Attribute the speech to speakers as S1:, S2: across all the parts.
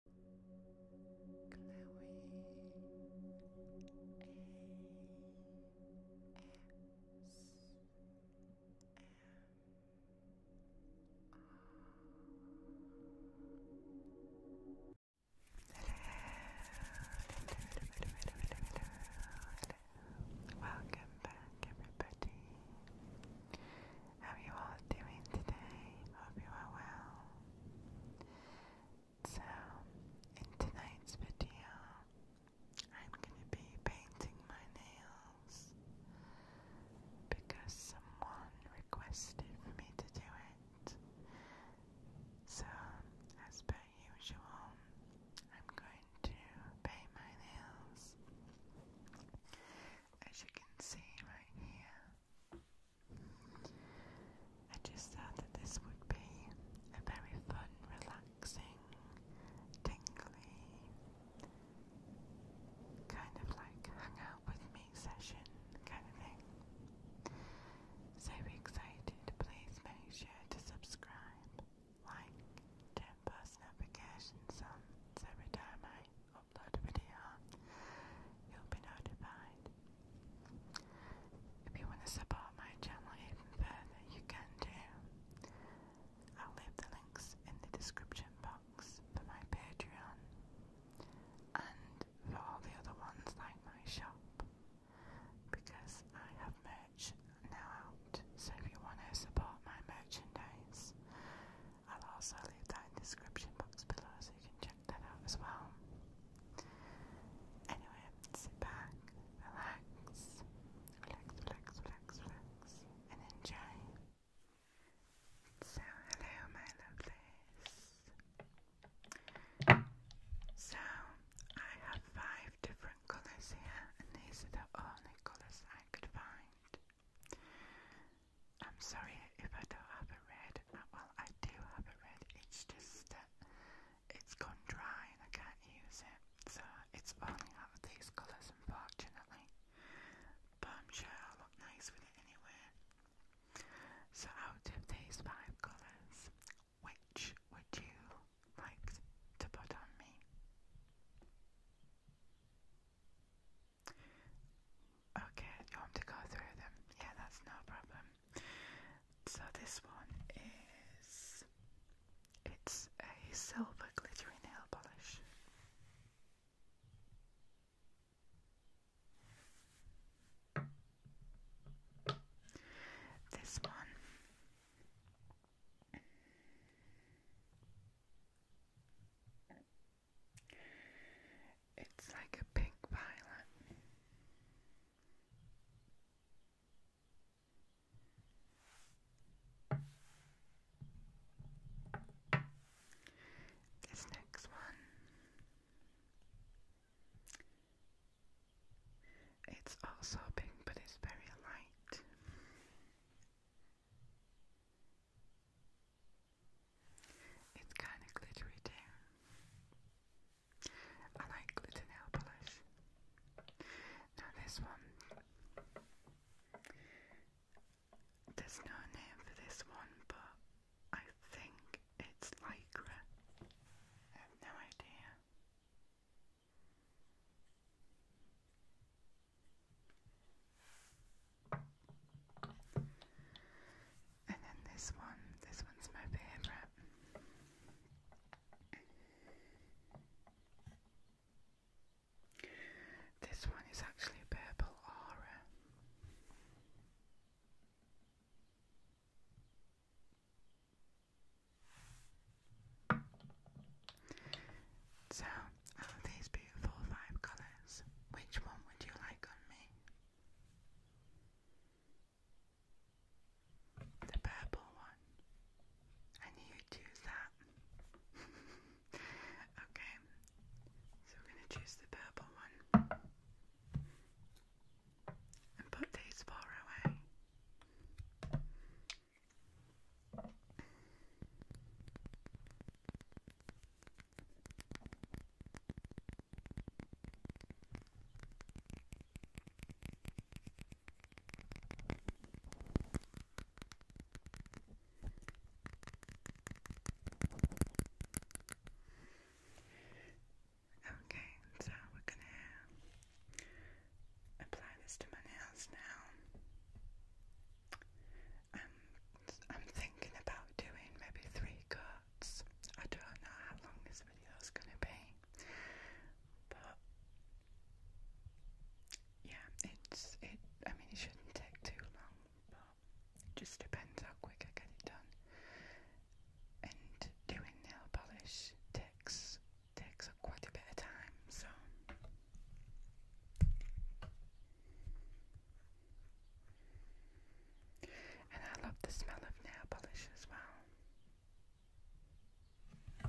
S1: Welcome back, everybody. How you all doing today? Hope you are well. So, in tonight's video, I'm going to be painting my nails because someone requested for me to do it. So, as per usual, I'm going to paint my nails. As you can see right here, I just thought that this would be a very fun, relaxing, tingly, kind of like hang with me session kind of thing. So excited, please make sure to subscribe, like, turn post notifications on every time I upload a you'll be notified. If you want to support my channel even further, you can do. I'll leave the links in the description box for my Patreon and for all the other ones like my shop because I have merch now out. So if you want to support my merchandise, I'll also leave that in the description box below so you can check that out as well. Anyway, sit back, relax, relax, relax, relax, and enjoy. So, hello, my lovelies. So, I have five different colours here, and these are the only colours I could find. I'm sorry if I don't have a red. Uh, well, I do have a red. It's just that it's gone dry and I can't use it. So it's only out these colours, unfortunately. But I'm sure I'll look nice with it anyway. So out of these five colours, which would you like to put on me? Okay, you want to go through them? Yeah, that's no problem. So this one is it's a silver glittery nail polish. This one it's like a pink violet. This next one, it's also pink, but it's very light. It's kind of glittery too. I like glitter nail polish. Now this one, there's no name for this one, but I think it's Lycra. I have no idea. And then this one, this one's my favourite. This one is actually purple aura. So, these beautiful five colours, which one would you like on me? The purple one. I you choose that. okay, so we're going to choose the purple one and put these four away. Okay, so we're going to apply this to my nails now. I'm thinking about doing maybe three cuts. I don't know how long this video is going to be, but yeah, it's it. I mean, it shouldn't take too long, just depends how quick I get it done. And doing nail polish takes takes quite a bit of time, so. And I love the smell of nail polish as well. Do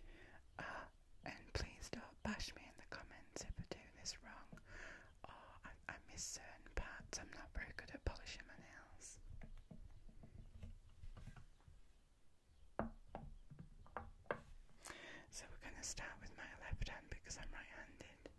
S1: you want and please don't bash me in the comments if I do this wrong I miss certain parts. I'm not very good at polishing my nails. So we're going to start with my left hand because I'm right handed.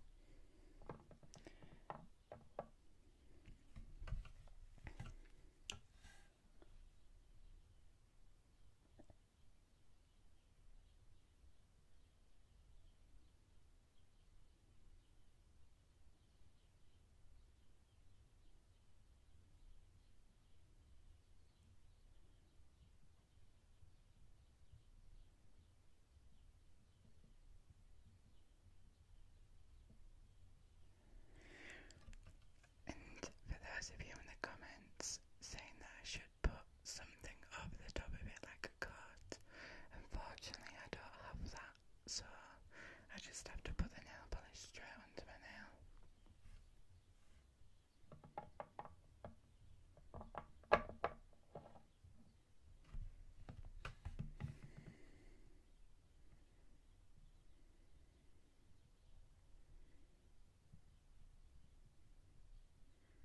S1: And for those of you in the comments saying that I should put something over the top of it like a coat. Unfortunately, I don't have that, so I just have to put the nail polish straight onto my nail.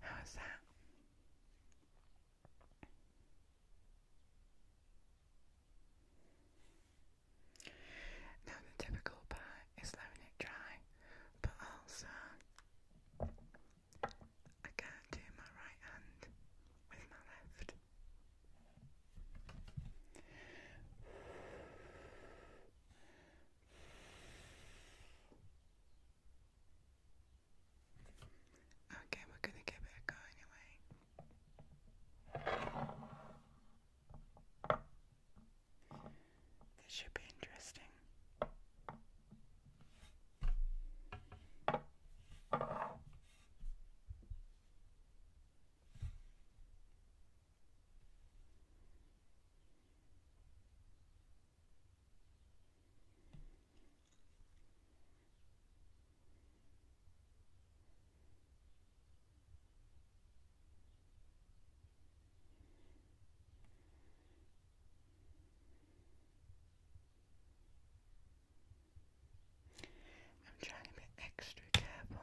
S1: How is that? Now the typical part is letting it dry, but also I do my right hand with my left. Okay, we're going to give it a This should be interesting. I'm trying to be extra careful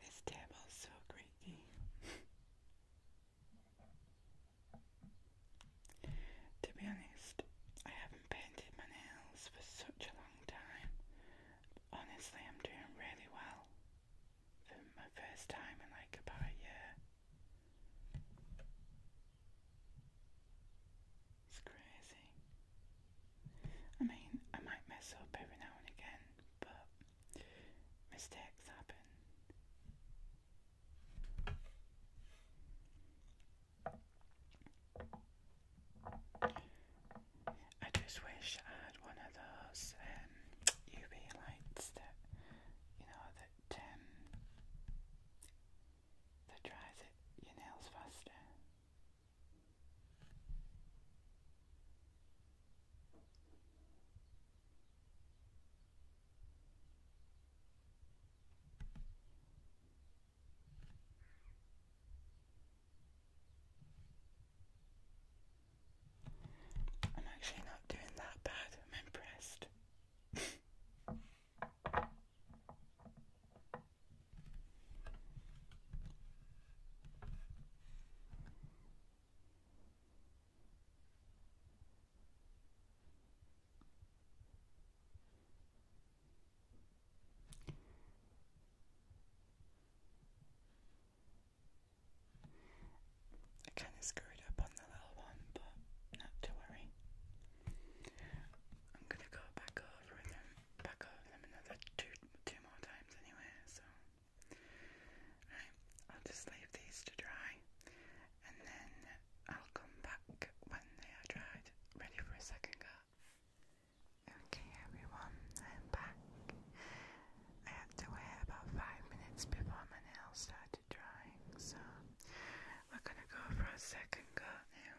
S1: This table's so creaky. to be honest, I haven't painted my nails for such a long time honestly, I'm doing really well for my first time in like about a year. It's crazy. I mean, I might mess up every now and again, but mistakes happen. I just wish I had one of those UV um, lights that you know that um, that dries it your nails faster. I'm actually not doing that bad, I'm impressed. I kind of screwed up on the little one, but not to worry. I'm gonna go back over them, back over them another two, two more times anyway. So, right, I'll just leave these to dry, and then I'll come back when they are dried, ready for a second go. Okay, everyone, I'm back. I had to wait about five minutes before my nails start to dry, so we're gonna go for a second coat now.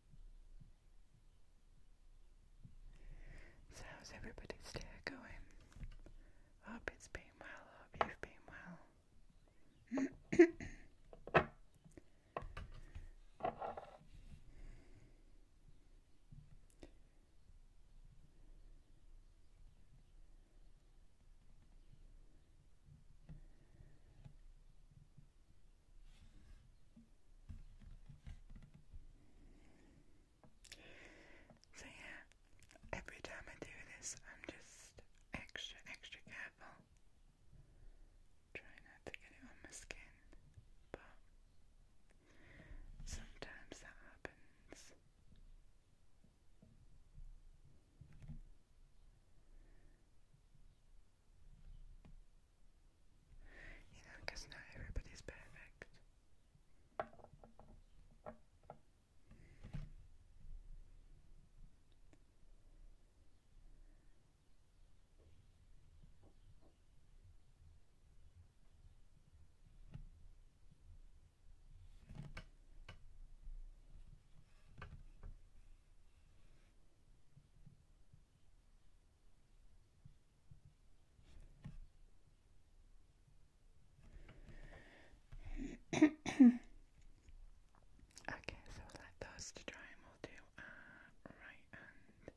S1: So how's everybody's day going? hope it's been well, hope you've been well. So, yeah, every time I do this, I'm just extra, extra careful. Try not to get it on my skin, but sometimes that happens. You know, because not everybody's perfect okay, so we'll let those to dry and we'll do uh, right hand.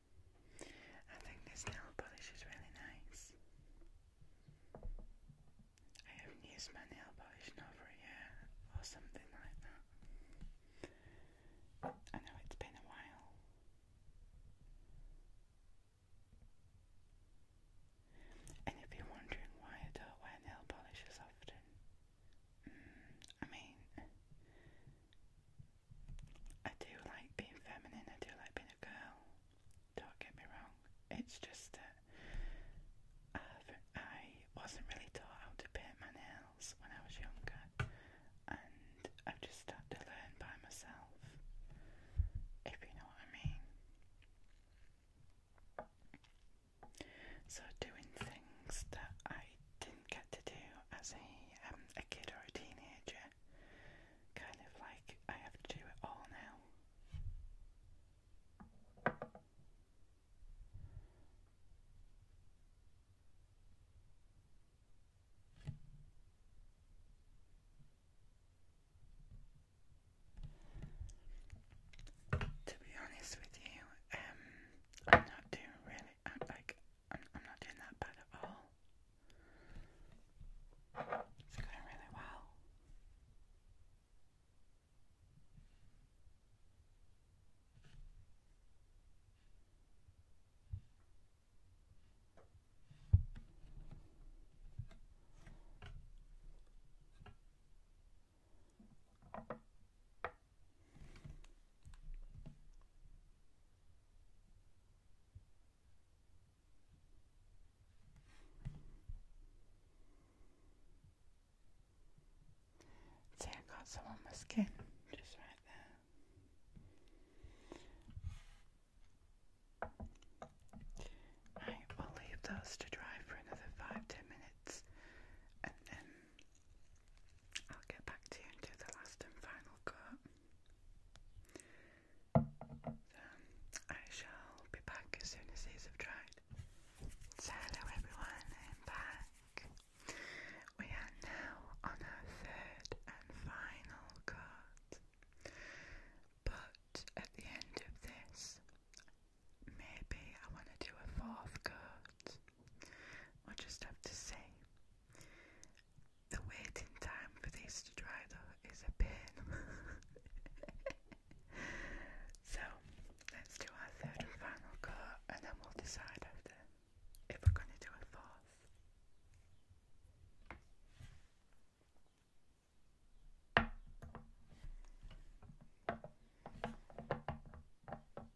S1: I think this nail polish is really nice. I haven't used my nail polish in a year or something like that. I know it's been a while. And if you're wondering why I don't wear nail polish as often, mm, I mean, I do like being feminine, I do like being a girl, don't get me wrong. It's just that I've, uh, I was not really taught how to paint my nails when I was younger, and I've just started to learn by myself, if you know what I mean. So, doing things that I didn't get to do as a um, a kid or a teenager. Kind of like I have to do it all now. To be honest with you, um, I'm not doing really. i like I'm, not doing that bad at all. It's going really well. See, I got some on my skin just right there. I will leave those to dry for another five ten minutes and then I'll get back to you and do the last and final cut. I shall be back as soon as these have dried. So hello everyone, I'm back. We are now on our third and final cut. But at the end of this, maybe I want to do a fourth cut. We'll just have to see the waiting time for this to dry though is a pain. so let's do our third final coat and then we'll decide after if we're going to do a fourth.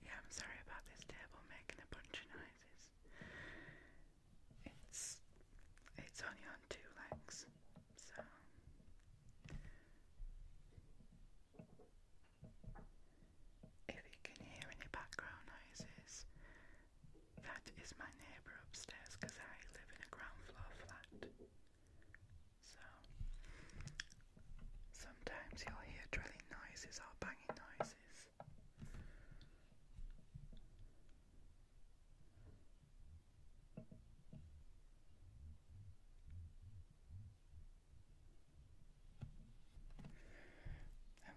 S1: Yeah, I'm sorry about this table making a bunch of noises. It's it's only on two legs, so if you can hear any background noises, that is my neighbour upstairs because I live in a ground floor flat. So Sometimes you'll hear drilling noises or banging noises.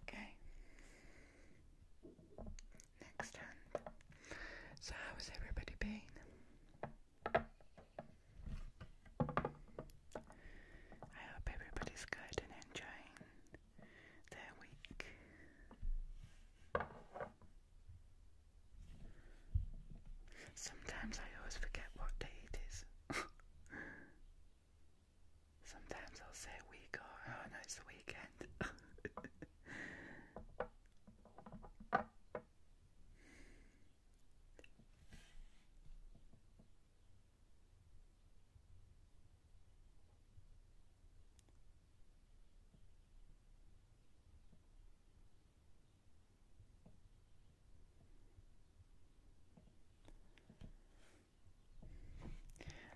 S1: Okay. Next hand. So how has everybody been? I hope everybody's good and enjoying their week. Sometimes I always forget what day it is. Sometimes I'll say week or oh, oh no, it's the weekend.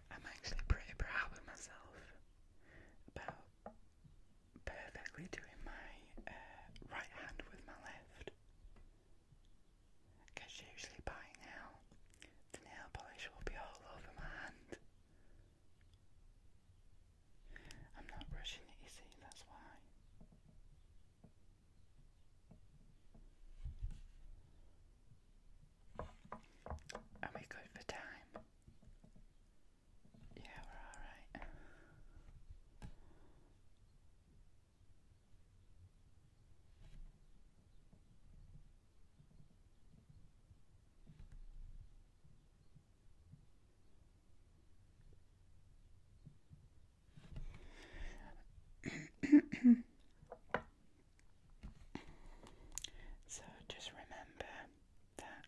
S1: I'm actually pretty proud of myself about perfectly doing my uh, right hand with my left. Because usually by now the nail polish will be all over my hand. I'm not brushing it, that's why. Are we good for time? Yeah, we're alright. so just remember that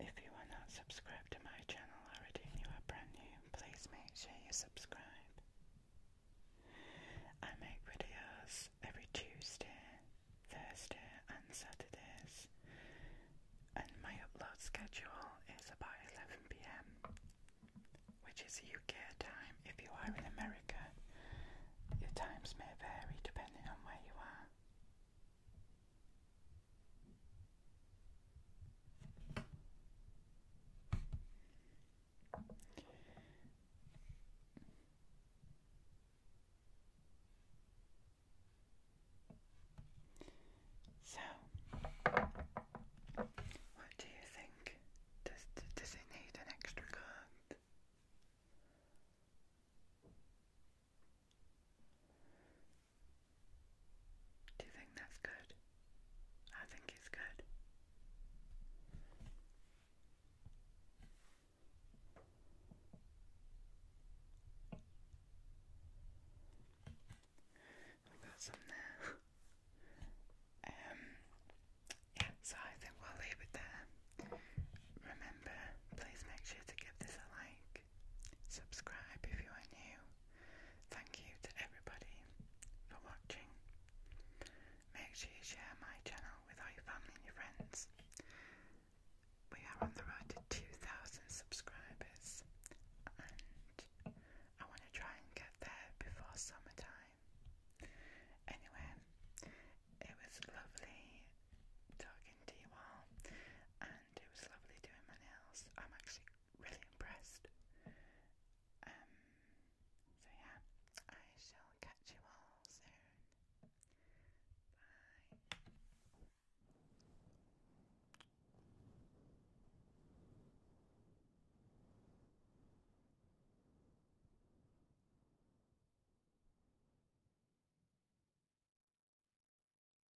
S1: if you are not subscribed to my channel already and you are brand new, please make sure you subscribe. I make videos every Tuesday, Thursday, and Saturdays, and my upload schedule is about 11 pm, which is UK time. If you are in America, your times may vary depending on where you are. So, what do you think? Does does it need an extra card? Do you think that's good? I think it's good. we got some there. um, yeah, so I think we'll leave it there. Remember, please make sure to give this a like subscribe if you are new. Thank you to everybody for watching. Make sure you share my channel with all your family and your friends. We are on the road to 2,000 subscribers, I want to try and get there before summertime. Anyway, it was lovely talking to you all, it was lovely doing my nails. I'm actually really impressed. Um, so yeah, I shall catch you all soon. Bye.